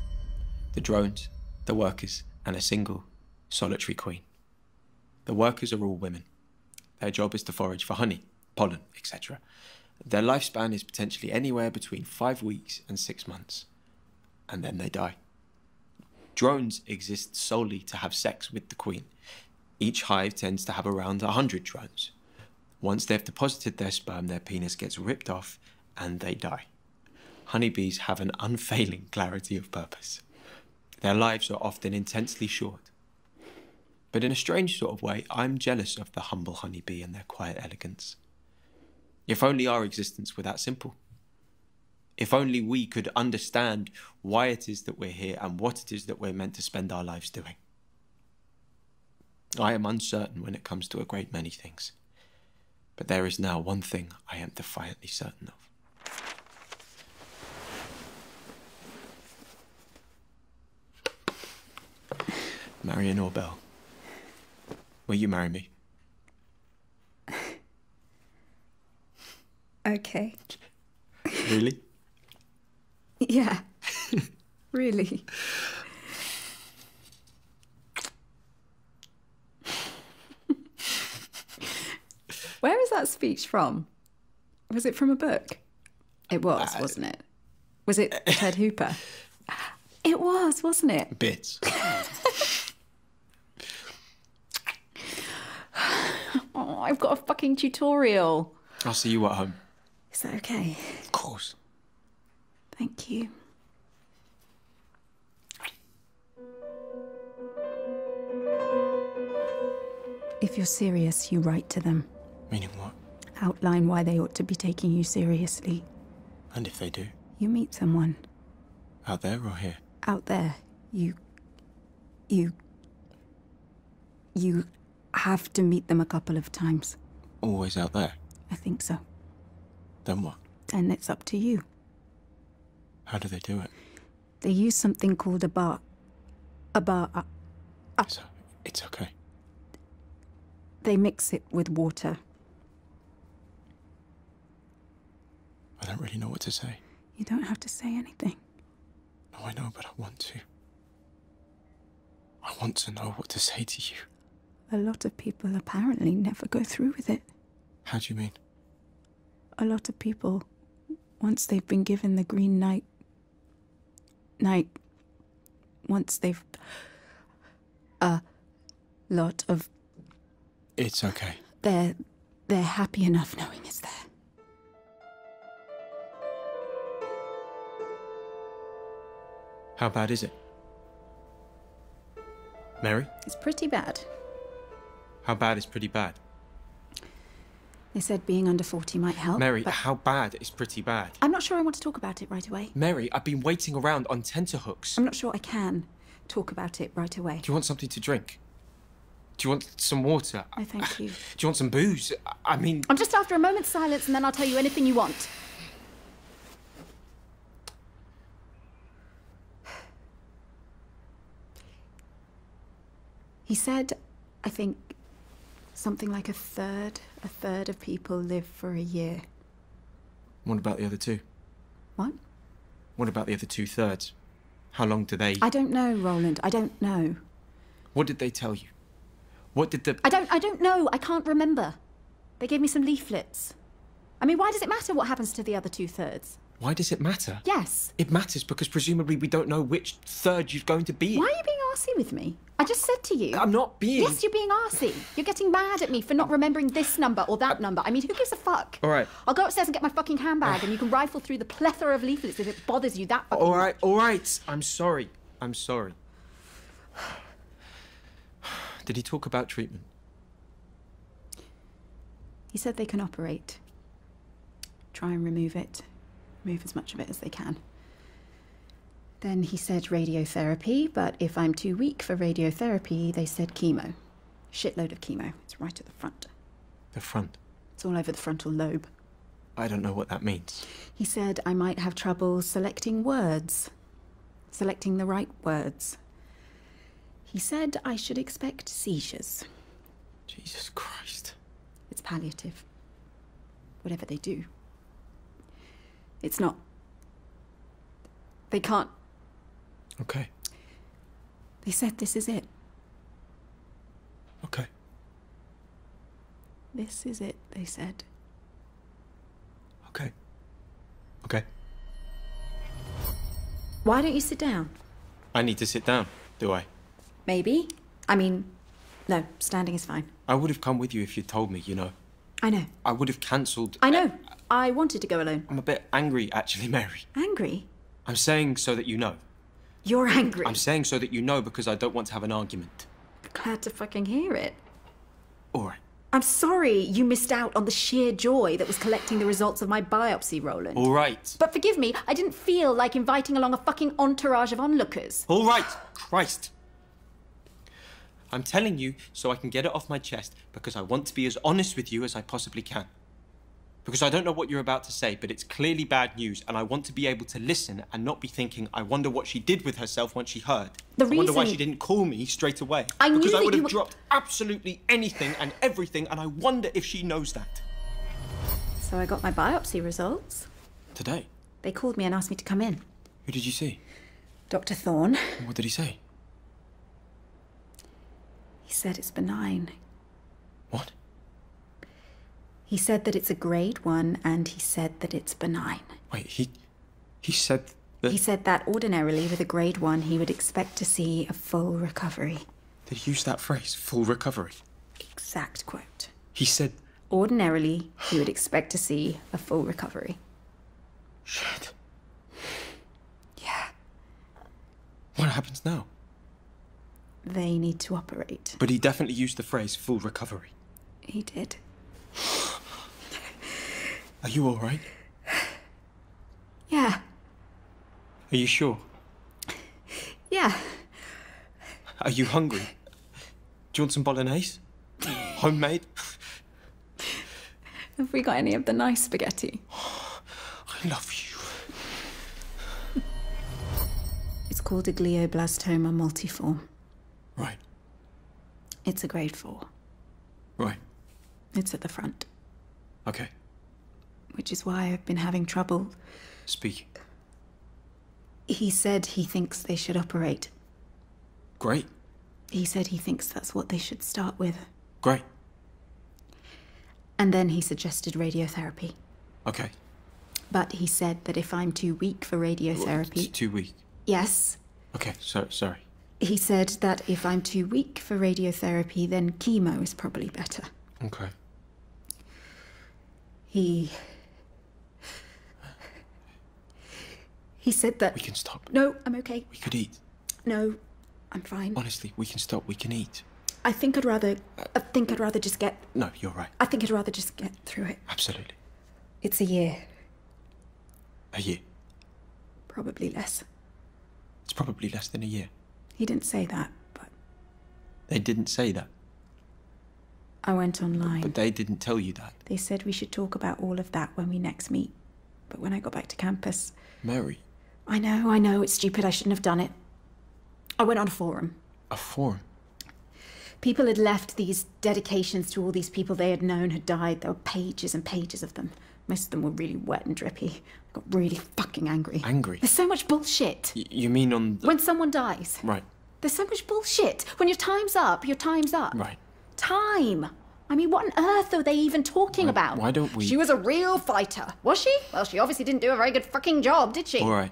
the drones, the workers, and a single, solitary queen. The workers are all women. Their job is to forage for honey, pollen, etc. Their lifespan is potentially anywhere between five weeks and six months, and then they die. Drones exist solely to have sex with the queen. Each hive tends to have around a 100 drones. Once they've deposited their sperm, their penis gets ripped off and they die. Honeybees have an unfailing clarity of purpose. Their lives are often intensely short. But in a strange sort of way, I'm jealous of the humble honeybee and their quiet elegance. If only our existence were that simple if only we could understand why it is that we're here and what it is that we're meant to spend our lives doing. I am uncertain when it comes to a great many things, but there is now one thing I am defiantly certain of. Marion Bell, will you marry me? Okay. really? yeah. really. Where is that speech from? Was it from a book? It was, uh, wasn't it? Was it Ted Hooper? It was, wasn't it? Bits. I've got a fucking tutorial. I'll see you at home. Is that okay? Of course. Thank you. If you're serious, you write to them. Meaning what? Outline why they ought to be taking you seriously. And if they do? You meet someone. Out there or here? Out there. You you... You have to meet them a couple of times. Always out there? I think so. Then what? Then it's up to you. How do they do it? They use something called a bar... A bar... A, a it's okay. They mix it with water. I don't really know what to say. You don't have to say anything. No, I know, but I want to. I want to know what to say to you. A lot of people apparently never go through with it. How do you mean? A lot of people, once they've been given the green night, night, once they've. A lot of. It's okay. They're. They're happy enough knowing it's there. How bad is it? Mary? It's pretty bad. How bad is pretty bad? They said being under 40 might help. Mary, how bad is pretty bad? I'm not sure I want to talk about it right away. Mary, I've been waiting around on tenterhooks. I'm not sure I can talk about it right away. Do you want something to drink? Do you want some water? No, thank you. Do you want some booze? I mean. I'm just after a moment's silence and then I'll tell you anything you want. He said, I think, something like a third, a third of people live for a year. What about the other two? What? What about the other two thirds? How long do they? I don't know, Roland. I don't know. What did they tell you? What did the? I don't. I don't know. I can't remember. They gave me some leaflets. I mean, why does it matter what happens to the other two thirds? Why does it matter? Yes. It matters because presumably we don't know which third you're going to be. Why are you being arsy with me? I just said to you. I'm not being. Yes, you're being arsy. You're getting mad at me for not remembering this number or that uh, number. I mean, who gives a fuck? All right. I'll go upstairs and get my fucking handbag and you can rifle through the plethora of leaflets bothers you that All right, much. all right. I'm sorry. I'm sorry. Did he talk about treatment? He said they can operate. Try and remove it. Remove as much of it as they can. Then he said radiotherapy, but if I'm too weak for radiotherapy, they said chemo. Shitload of chemo. It's right at the front. The front? It's all over the frontal lobe. I don't know what that means. He said I might have trouble selecting words, selecting the right words. He said I should expect seizures. Jesus Christ. It's palliative. Whatever they do. It's not. They can't. Okay. They said this is it. Okay. This is it, they said. Okay. Okay. Why don't you sit down? I need to sit down, do I? Maybe. I mean, no, standing is fine. I would have come with you if you'd told me, you know. I know. I would have cancelled. I know. I wanted to go alone. I'm a bit angry, actually, Mary. Angry? I'm saying so that you know. You're angry. I'm saying so that you know because I don't want to have an argument. Glad to fucking hear it. All right. I'm sorry you missed out on the sheer joy that was collecting the results of my biopsy, Roland. All right. But forgive me, I didn't feel like inviting along a fucking entourage of onlookers. All right, Christ. I'm telling you so I can get it off my chest because I want to be as honest with you as I possibly can because I don't know what you're about to say, but it's clearly bad news, and I want to be able to listen and not be thinking, I wonder what she did with herself once she heard. The I wonder why she didn't call me straight away. I because I would have dropped absolutely anything and everything, and I wonder if she knows that. So I got my biopsy results. Today? They called me and asked me to come in. Who did you see? Dr. Thorne. What did he say? He said it's benign. What? He said that it's a grade one, and he said that it's benign. Wait, he. he said He said that ordinarily, with a grade one, he would expect to see a full recovery. They used that phrase, full recovery? Exact quote. He said. Ordinarily, he would expect to see a full recovery. Shit. Yeah. What happens now? they need to operate. But he definitely used the phrase full recovery. He did. Are you all right? Yeah. Are you sure? Yeah. Are you hungry? Do you want some bolognese? Homemade? Have we got any of the nice spaghetti? I love you. It's called a glioblastoma multiforme. Right. It's a grade four. Right. It's at the front. Okay. Which is why I've been having trouble. Speak. He said he thinks they should operate. Great. He said he thinks that's what they should start with. Great. And then he suggested radiotherapy. Okay. But he said that if I'm too weak for radiotherapy. too weak? Yes. Okay, so, sorry. He said that if I'm too weak for radiotherapy, then chemo is probably better. Okay. He. He said that. We can stop. No, I'm okay. We could eat. No, I'm fine. Honestly, we can stop. We can eat. I think I'd rather. I think I'd rather just get. No, you're right. I think I'd rather just get through it. Absolutely. It's a year. A year? Probably less. It's probably less than a year. He didn't say that, but. They didn't say that. I went online. But they didn't tell you that. They said we should talk about all of that when we next meet. But when I got back to campus. Mary. I know, I know, it's stupid. I shouldn't have done it. I went on a forum. A forum? People had left these dedications to all these people they had known had died. There were pages and pages of them. Most of them were really wet and drippy. I got really fucking angry. Angry? There's so much bullshit. you mean on. When someone dies. Right. There's so much bullshit. When your time's up, your time's up. Right. Time. I mean, what on earth are they even talking about? Why don't we? She was a real fighter, was she? Well, she obviously didn't do a very good fucking job, did she? All right.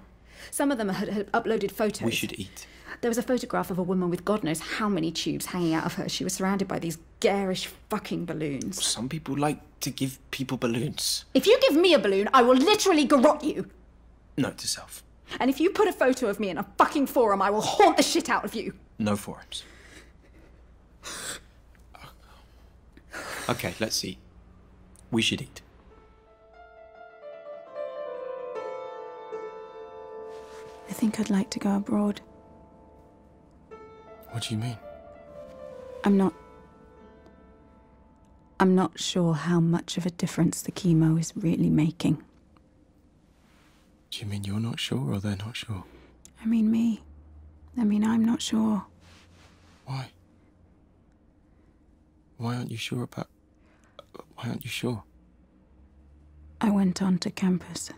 Some of them had, uploaded photos. We should eat. There was a photograph of a woman with God knows how many tubes hanging out of her. She was surrounded by these garish fucking balloons. Some people like to give people balloons. If you give me a balloon, I will literally garrot you. Note to self. And if you put a photo of me in a fucking forum, I will haunt the shit out of you. No forums. Okay, let's see. We should eat. I think I'd like to go abroad. What do you mean? I'm not. I'm not sure how much of a difference the chemo is really making. Do you mean you're not sure or they're not sure? I mean me. I mean I'm not sure. Why? Why aren't you sure about why aren't you sure? I went on to campus.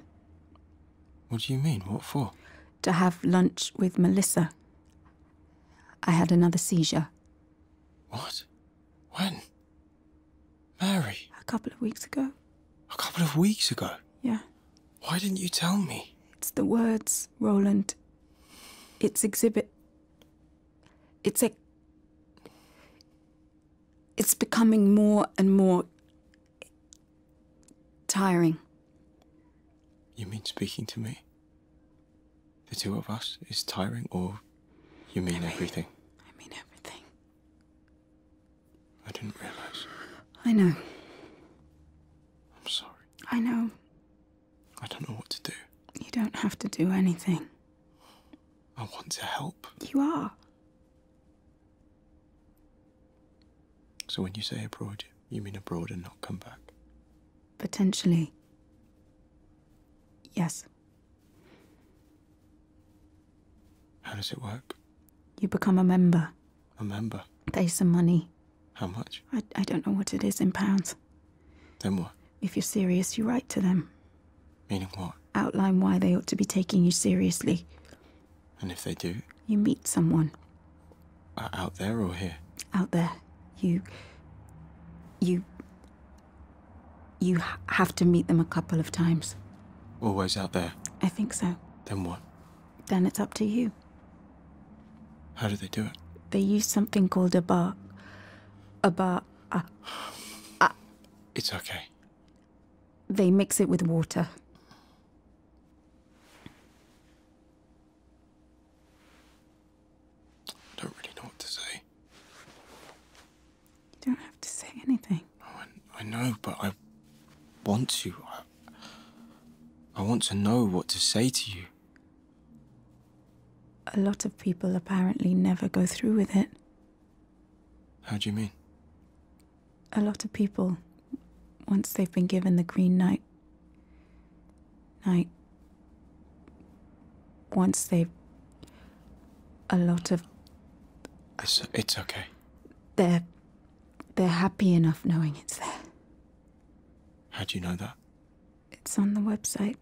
What do you mean? What for? To have lunch with Melissa. I had another seizure. What? When? Mary? A couple of weeks ago. A couple of weeks ago? Yeah. Why didn't you tell me? It's the words, Roland. It's exhibit it's a it's becoming more and more tiring. You mean speaking to me? The two of us is tiring, or you mean, mean everything? I mean everything. I didn't realize. I know. I'm sorry. I know. I don't know what to do. You don't have to do anything. I want to help. You are. So when you say abroad, you mean abroad and not come back? Potentially. Yes. How does it work? You become a member. A member? Pay some money. How much? I, I don't know what it is in pounds. Then what? If you're serious, you write to them. Meaning what? Outline why they ought to be taking you seriously. And if they do? You meet someone. out there or here? Out there. You. You. You have to meet them a couple of times. Always out there? I think so. Then what? Then it's up to you. How do they do it? They use something called a bar. A bar. Uh, uh, it's okay. They mix it with water. I don't really know what to say. You don't have to say anything. Oh, I, know, but I want to. I want to know what to say to you. A lot of people apparently never go through with it. How do you mean? A lot of people, once they've been given the green night, night, once they've. A lot of. It's, it's okay. They're. They're happy enough knowing it's there. How do you know that? It's on the website.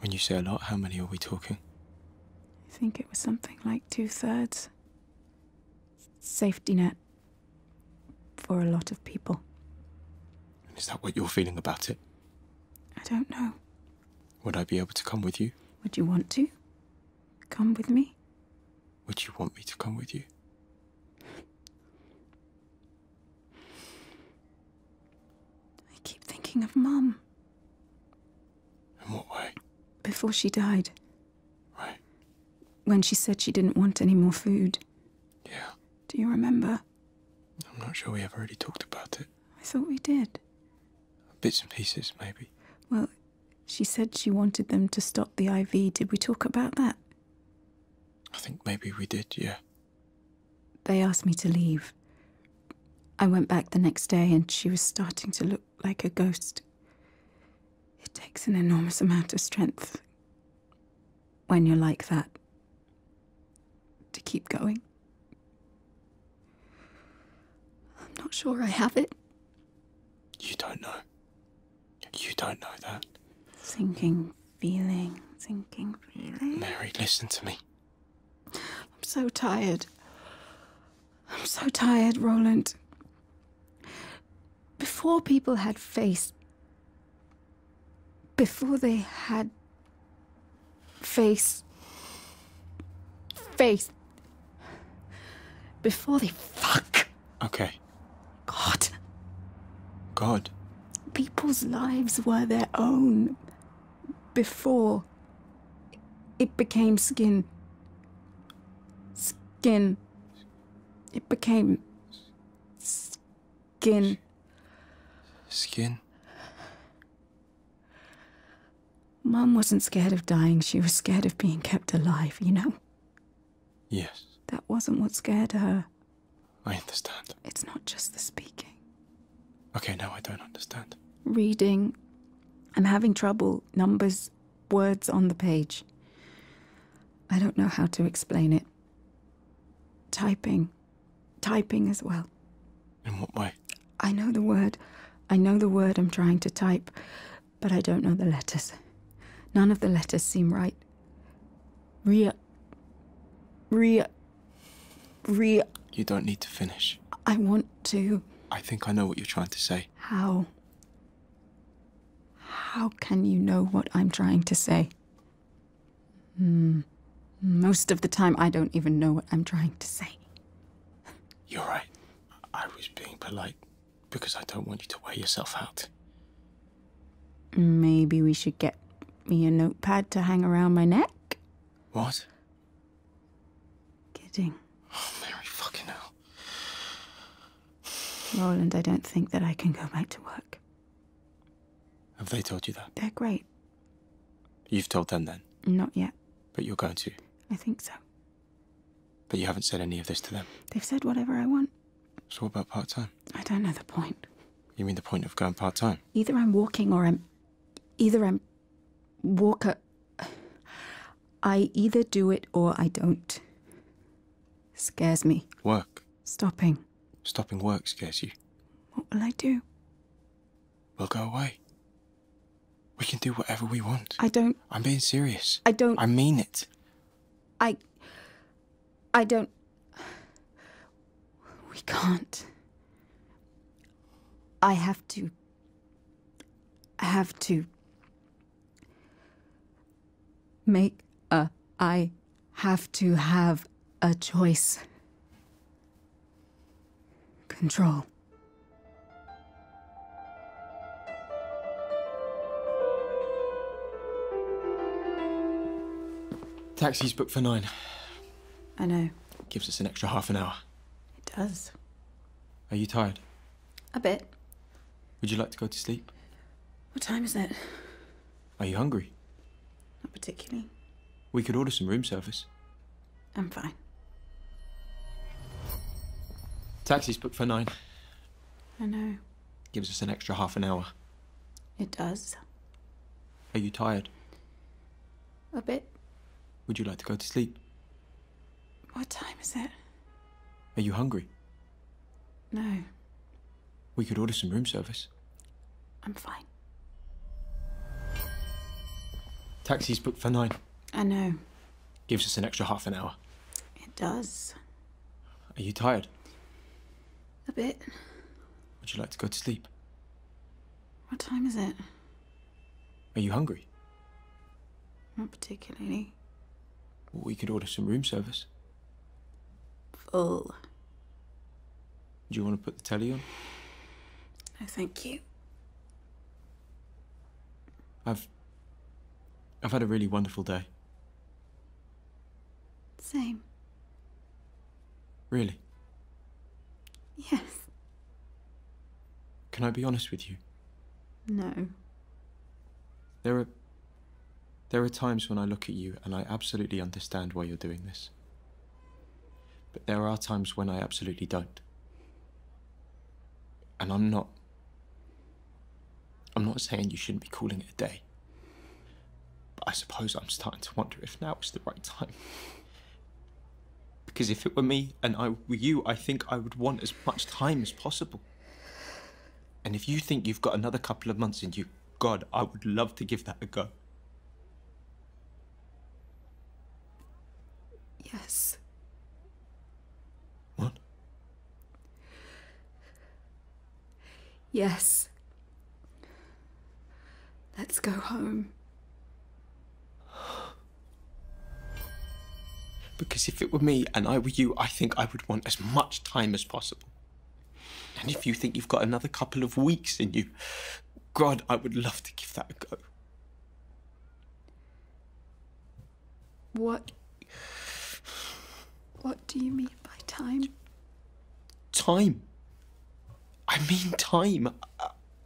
When you say a lot, how many are we talking? I think it was something like two thirds. Safety net for a lot of people. And is that what you're feeling about it? I don't know. Would I be able to come with you? Would you want to? Come with me? Would you want me to come with you? I keep thinking of Mum. In what way? Before she died. Right. When she said she didn't want any more food. Yeah. Do you remember? I'm not sure we have already talked about it. I thought we did. Bits and pieces, maybe. Well, she said she wanted them to stop the IV. Did we talk about that? I think maybe we did, yeah. They asked me to leave. I went back the next day and she was starting to look like a ghost. It takes an enormous amount of strength when you're like that to keep going. I'm not sure I have it. You don't know. You don't know that. Thinking, feeling, thinking, feeling. Mary, listen to me. I'm so tired. I'm so tired, Roland. Before people had face, before they had face, face, before they fuck. Okay. God. God. People's lives were their own before it became skin. Skin. It became skin. Skin? Mum wasn't scared of dying, she was scared of being kept alive, you know? Yes. That wasn't what scared her. I understand. It's not just the speaking. Okay, now I don't understand. Reading. I'm having trouble. Numbers, words on the page. I don't know how to explain it. Typing. Typing as well. In what way? I know the word. I know the word I'm trying to type, but I don't know the letters. None of the letters seem right. Ria. Ria re. You don't need to finish. I want to. I think I know what you're trying to say. How? How can you know what I'm trying to say? Hmm. Most of the time, I don't even know what I'm trying to say. You're right. I was being polite because I don't want you to wear yourself out. Maybe we should get me a notepad to hang around my neck? What? Kidding. Oh, Mary fucking hell. Roland, I don't think that I can go back to work. Have they told you that? They're great. You've told them then? Not yet. But you're going to? I think so. But you haven't said any of this to them? They've said whatever I want. So what about part-time? I don't know the point. You mean the point of going part-time? Either I'm walking or I'm... Either I'm Walker, I either do it or I don't. Scares me. Work. Stopping. Stopping work scares you. What will I do? We'll go away. We can do whatever we want. I don't. I'm being serious. I don't. I mean it. I. I don't. We can't. I have to. have to. Make a. I have to have a choice. Control. Taxi's booked for nine. I know. Gives us an extra half an hour. It does. Are you tired? A bit. Would you like to go to sleep? What time is it? Are you hungry? Not particularly. We could order some room service. I'm fine. Taxi's booked for nine. I know. Gives us an extra half an hour. It does. Are you tired? A bit. Would you like to go to sleep? What time is it? Are you hungry? No. We could order some room service. I'm fine. Taxi's booked for nine. I know. Gives us an extra half an hour. It does. Are you tired? A bit. Would you like to go to sleep? What time is it? Are you hungry? Not particularly. we could order some room service. Full. Do you want to put the telly on? No, thank you. I've... I've had a really wonderful day. Same. Really? Yes. Can I be honest with you? No. There are. There are times when I look at you and I absolutely understand why you're doing this. But there are times when I absolutely don't. And I'm not. I'm not saying you shouldn't be calling it a day. But I suppose I'm starting to wonder if now is the right time. Because if it were me and I were you, I think I would want as much time as possible. And if you think you've got another couple of months in you, God, I would love to give that a go. Yes. What? Yes. Let's go home. Because if it were me and I were you, I think I would want as much time as possible. And if you think you've got another couple of weeks in you, God, I would love to give that a go. What? What do you mean by time? Time. I mean time.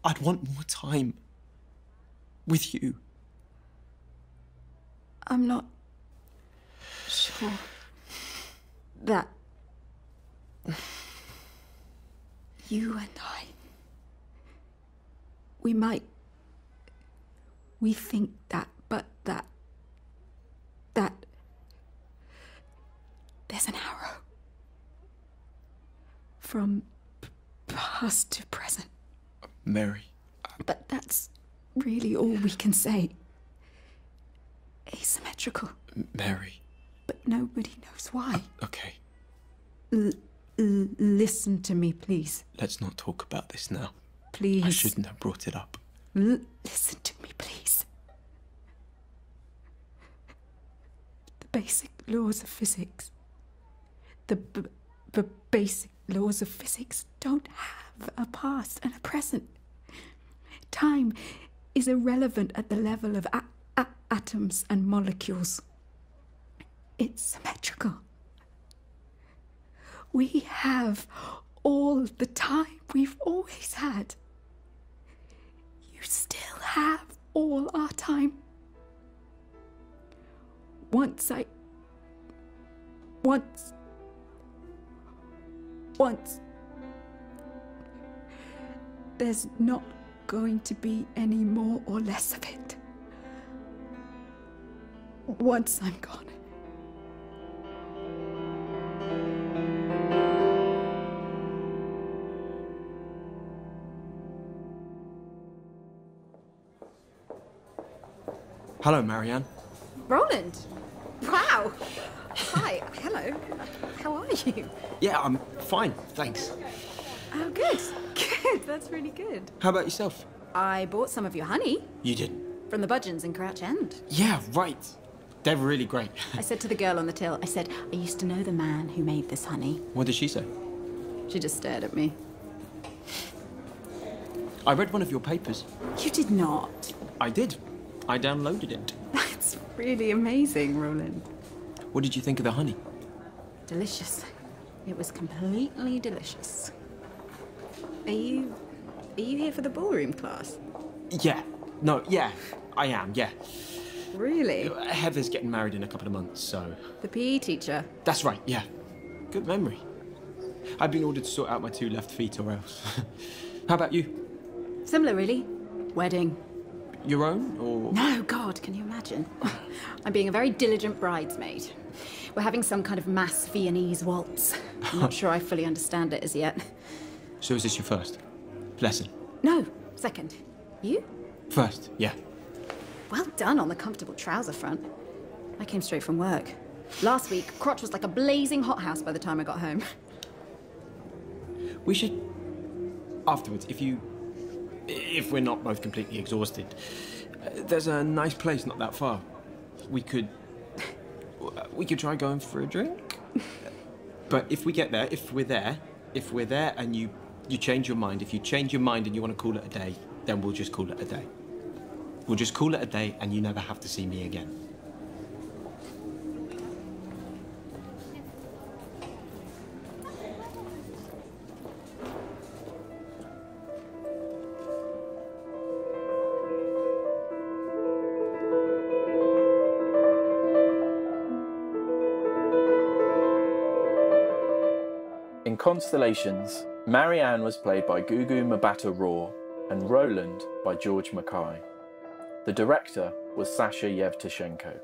I'd want more time. With you. I'm not sure that you and I, we might, we think that, but that, that, there's an arrow from past to present. Mary. But that's really all we can say. Asymmetrical. Mary. But nobody knows why. okay. listen to me, please. Let's not talk about this now. Please. I shouldn't have brought it up. listen to me, please. The basic laws of physics the basic laws of physics don't have a past and a present. Time is irrelevant at the level of atoms and molecules. It's symmetrical. We have all the time we've always had. You still have all our time. Once I. Once. Once. There's not going to be any more or less of it. Once I'm gone. Hello, Marianne. Roland. Wow. Hi. Hello. How are you? Yeah, I'm fine. Thanks. Oh, good. Good. That's really good. How about yourself? I bought some of your honey. You did? not From the Budgeons in Crouch End. Yeah, right. They're really great. I said to the girl on the till, I said, I used to know the man who made this honey. What did she say? She just stared at me. I read one of your papers. You did not. I did. I downloaded it. That's really amazing, Roland. What did you think of the honey? Delicious. It was completely delicious. Are you... are you here for the ballroom class? Yeah. No, yeah. I am, yeah. Really? Heather's getting married in a couple of months, so the PE teacher? That's right, yeah. Good memory. I've been ordered to sort out my two left feet or else. How about you? Similar, really. Wedding. Your own, or...? No, God, can you imagine? I'm being a very diligent bridesmaid. We're having some kind of mass Viennese waltz. I'm not sure I fully understand it as yet. So is this your first lesson? No, second. You? First, yeah. Well done on the comfortable trouser front. I came straight from work. Last week, crotch was like a blazing hothouse by the time I got home. We should... Afterwards, if you... If we're not both completely exhausted, uh, there's a nice place not that far. We could... We could try going for a drink? but if we get there, if we're there, if we're there and you you change your mind, if you change your mind and you want to call it a day, then we'll just call it a day. We'll just call it a day and you never have to see me again. In Constellations, Marianne was played by Gugu Mbatha Raw and Roland by George McKay. The director was Sasha Yevtushenko.